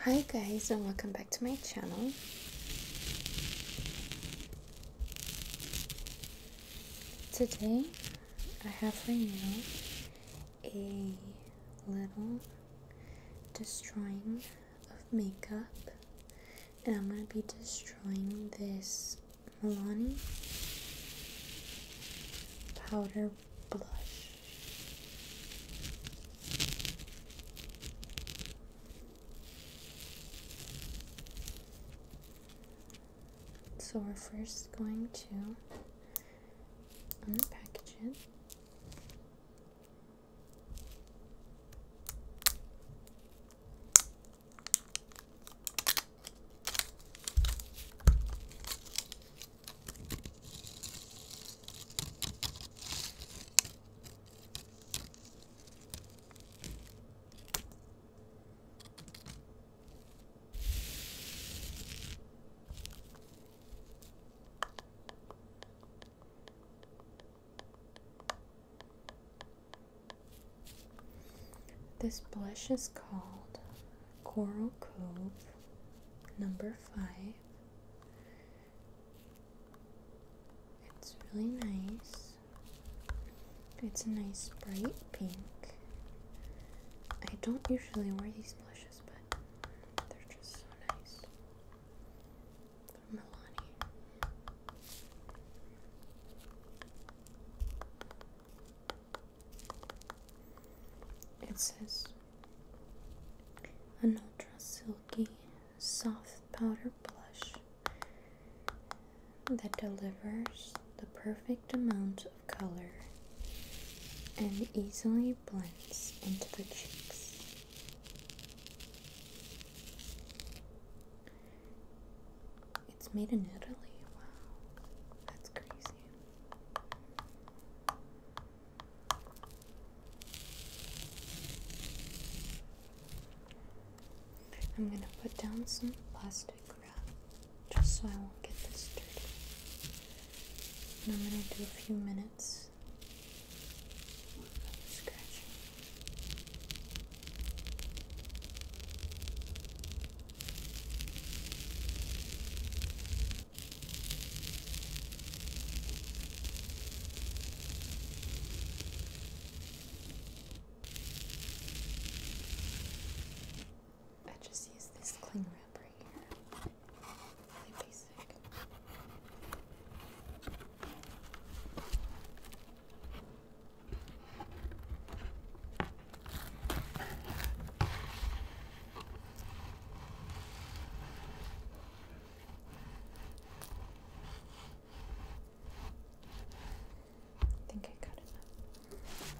Hi guys and welcome back to my channel. Today I have for you a little destroying of makeup and I'm going to be destroying this Milani powder blush. So we're first going to unpackage it. This blush is called Coral Cove number 5 it's really nice. It's a nice bright pink. I don't usually wear these blushes, but they're just so nice. From Milani. It says an ultra Silk." silky soft powder blush that delivers the perfect amount of color and easily blends into the cheeks. It's made in Italy. Wow, that's crazy. I'm gonna put down some plastic wrap just so I won't get this dirty. And I'm gonna do a few minutes of scratching. I just use this cling wrap right here. Really basic. I think I got enough.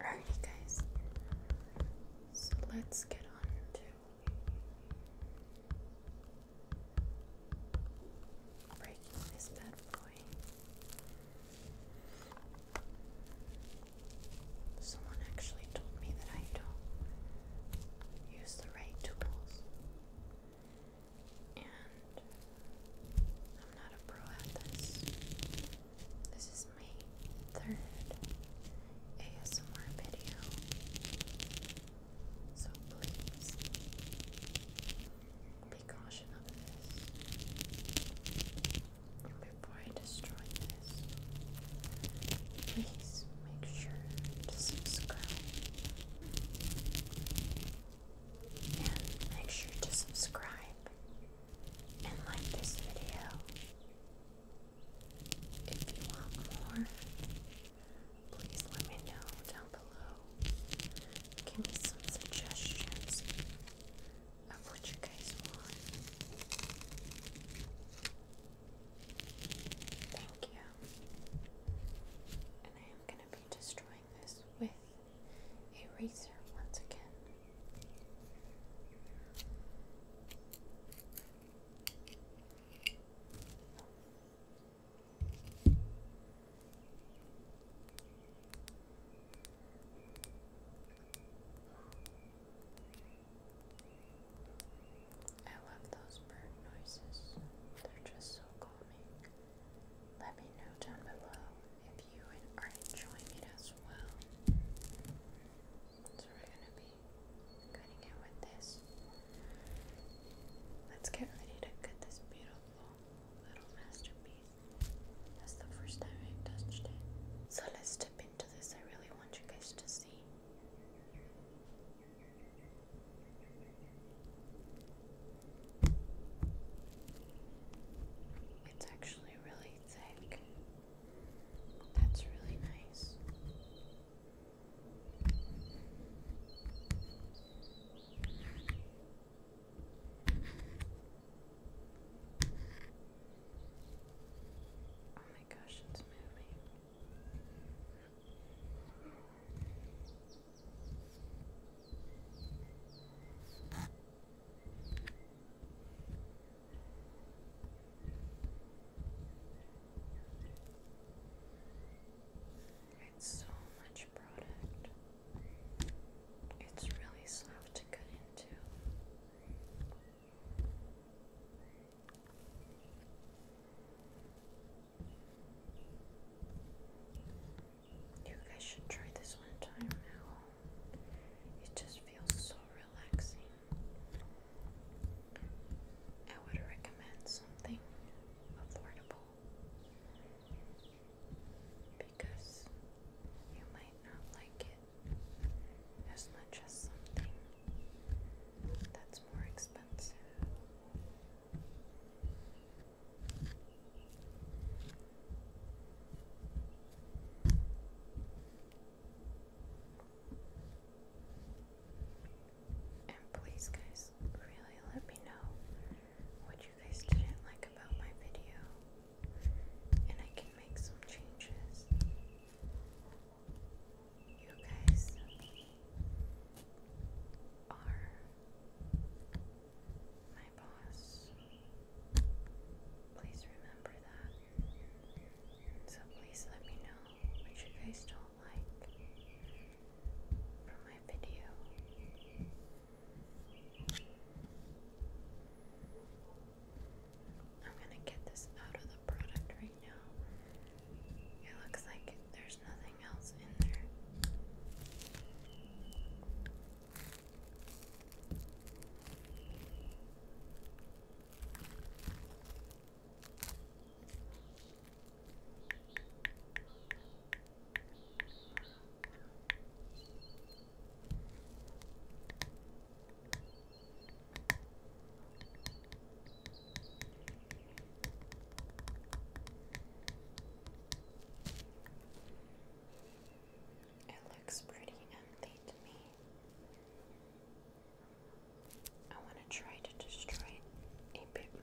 Alrighty, guys. So let's get on to Breaking this bad boy. Someone actually told me that I don't use the right tools. And I'm not a pro at this. This is my third ASMR video. So please be cautious of this. before I destroy this, please make sure to subscribe. And make sure to subscribe and like this video if you want more please let me know down below. Give me some suggestions of what you guys want. Thank you. And I am going to be destroying this with eraser once again. I love those bird noises. They're just so calming. Let me know down below if you are enjoying it as well. So we're gonna be cutting it with this. Let's get ready to cut this beautiful little masterpiece. That's the first time I've touched it. So let's dip into this. I really want you guys to see. It's actually really thick. That's really nice. Oh my gosh, it's moving. It's so much product. It's really soft to cut into. You guys should try this one time now. It just feels so relaxing. I would recommend something affordable because you might not like it as much as something that's more expensive. And please, guys, really let me know what you guys didn't like about my video, and I can make some changes. You guys are my boss. Please remember that. So please let me know what you guys don't don't like from my video. I'm gonna get this out of the product right now. It looks like there's nothing else in there. It looks pretty empty to me. I want to try to destroy it a bit more.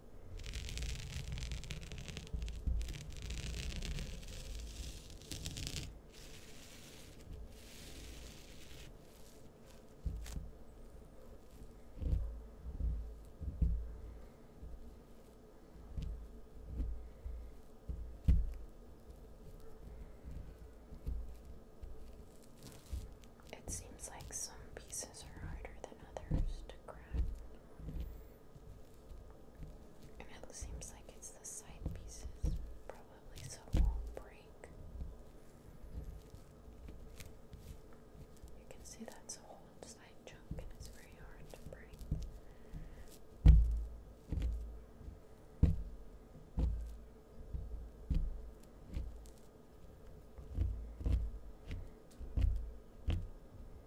It seems like some pieces are harder than others to crack. And it seems like it's the side pieces, probably, so it won't break. You can see that's a whole inside chunk, and it's very hard to break.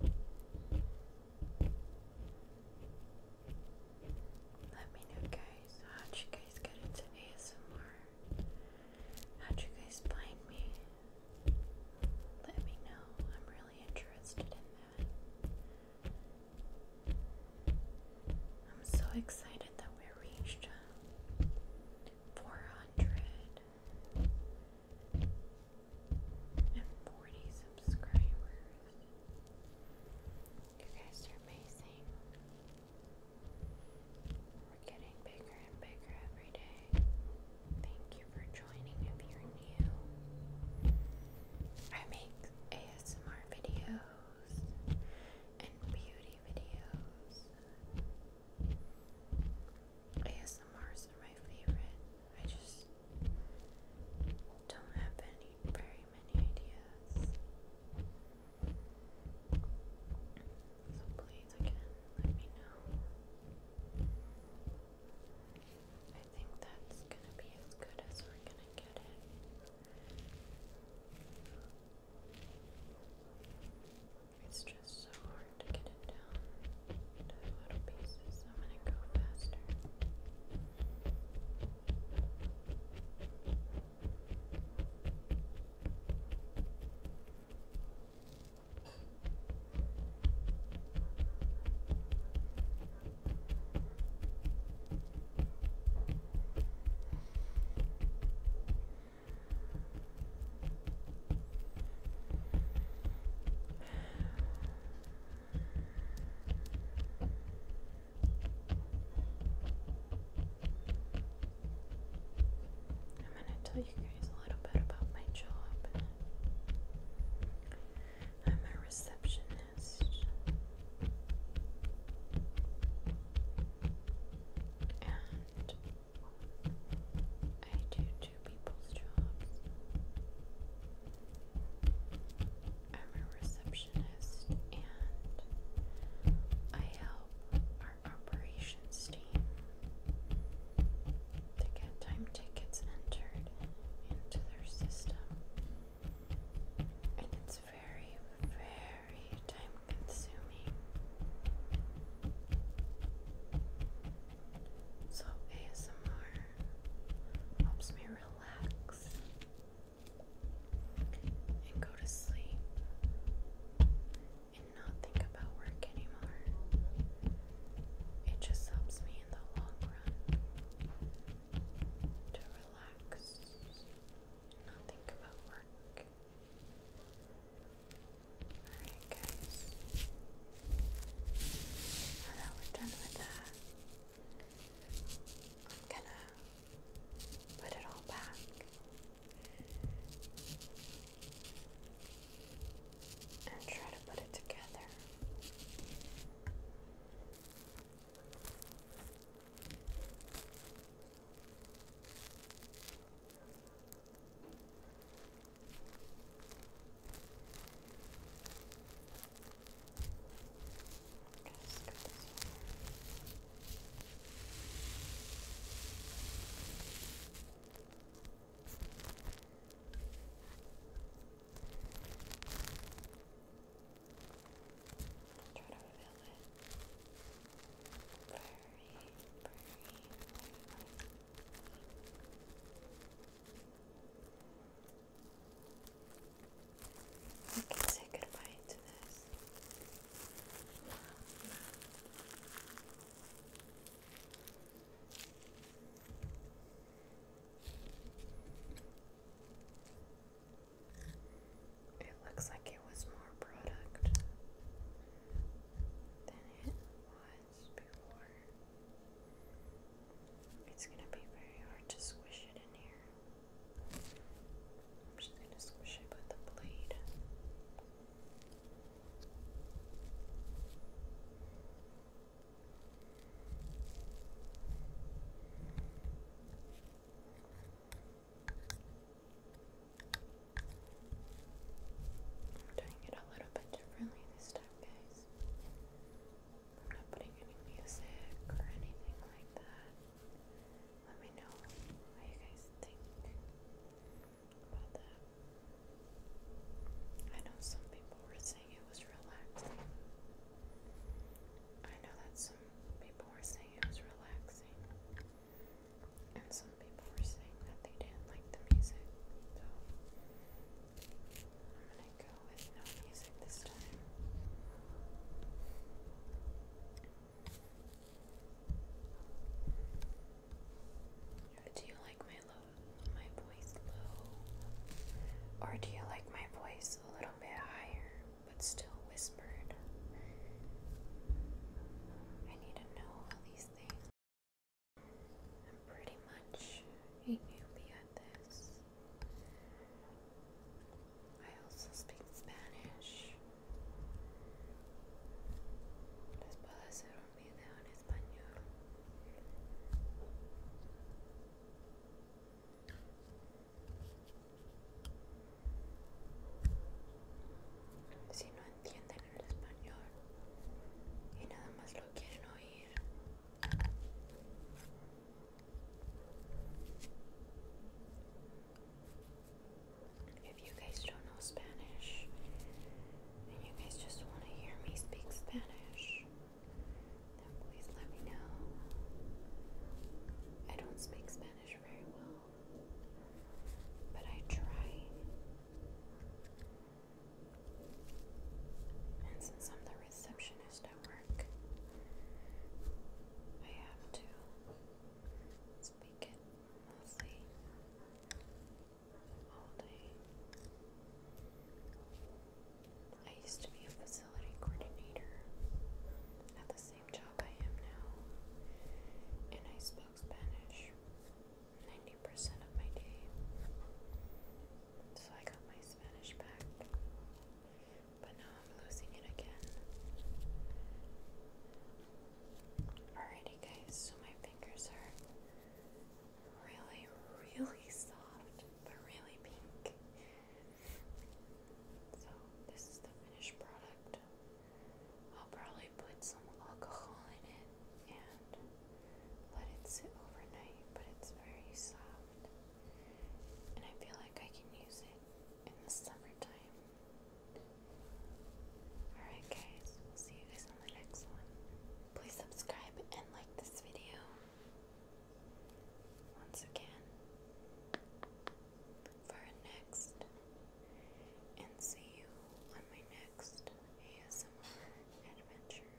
Let me know, guys. How'd you guys get into ASMR? How'd you guys find me? Let me know. I'm really interested in that. I'm so excited that we reached uh, 400 and 40 subscribers. You guys are amazing. We're getting bigger and bigger every day. Thank you for joining if you're new. I make ASMR videos and beauty videos. ASMRs are my favorite. I just don't have any very many ideas. So please again let me know. I think that's gonna be as good as we're gonna get it. It's just so hard to get it down into little pieces so I'm gonna go faster. I'm gonna tell you guys a little bit about my job. I'm a receptionist. And I do two people's jobs. I'm a receptionist and I help our operations team to get time tickets entered into their system. And it's very, very time consuming. So ASMR helps me relax relax and go to sleep and not think about work anymore. It just helps me in the long run to relax not think about work. Alright, guys. Now we're done with that, I'm gonna put it all back. And try to put it together. Just cut this one. I'll try to reveal it very, very lightly. I can say goodbye to this. It looks like it was more product than it was before. It's gonna be very hard to squish it in here. I'm just gonna squish it with the blade. I'm doing it a little bit differently this time, guys. I'm not putting any music or anything like that. Let me know what you guys think about that. I know some people were saying it was relaxing. I know that some people were saying it was relaxing. And some people were saying that they didn't like the music. I'm gonna go with no music this time. Do you like my low, my voice low, or do you like my voice a little bit higher but still whispered? I need to know all these things. I'm pretty much a newbie at this. I also speak Spanish. Les puedo hacer un video en español. Si no entienden el español y nada más lo quieren oír, If you guys don't know Spanish and you guys just want to hear me speak Spanish, then please let me know. I don't speak Spanish very well, but I try. And since I'm the receptionist, work. I have to speak it mostly all day. I used to be a facility coordinator at the same job I am now, and I spoke Spanish 90% of my day. So I got my Spanish back. But now I'm losing it again. Alrighty, guys, so my fingers are really, really soft, but really pink. So, this is the finished product. I'll probably put some alcohol in it and let it sit overnight, but it's very soft and I feel like I can use it in the summertime. Alright, guys, we'll see you guys on the next one. Please subscribe and like this video. Once again, for next, and see you on my next ASMR adventure.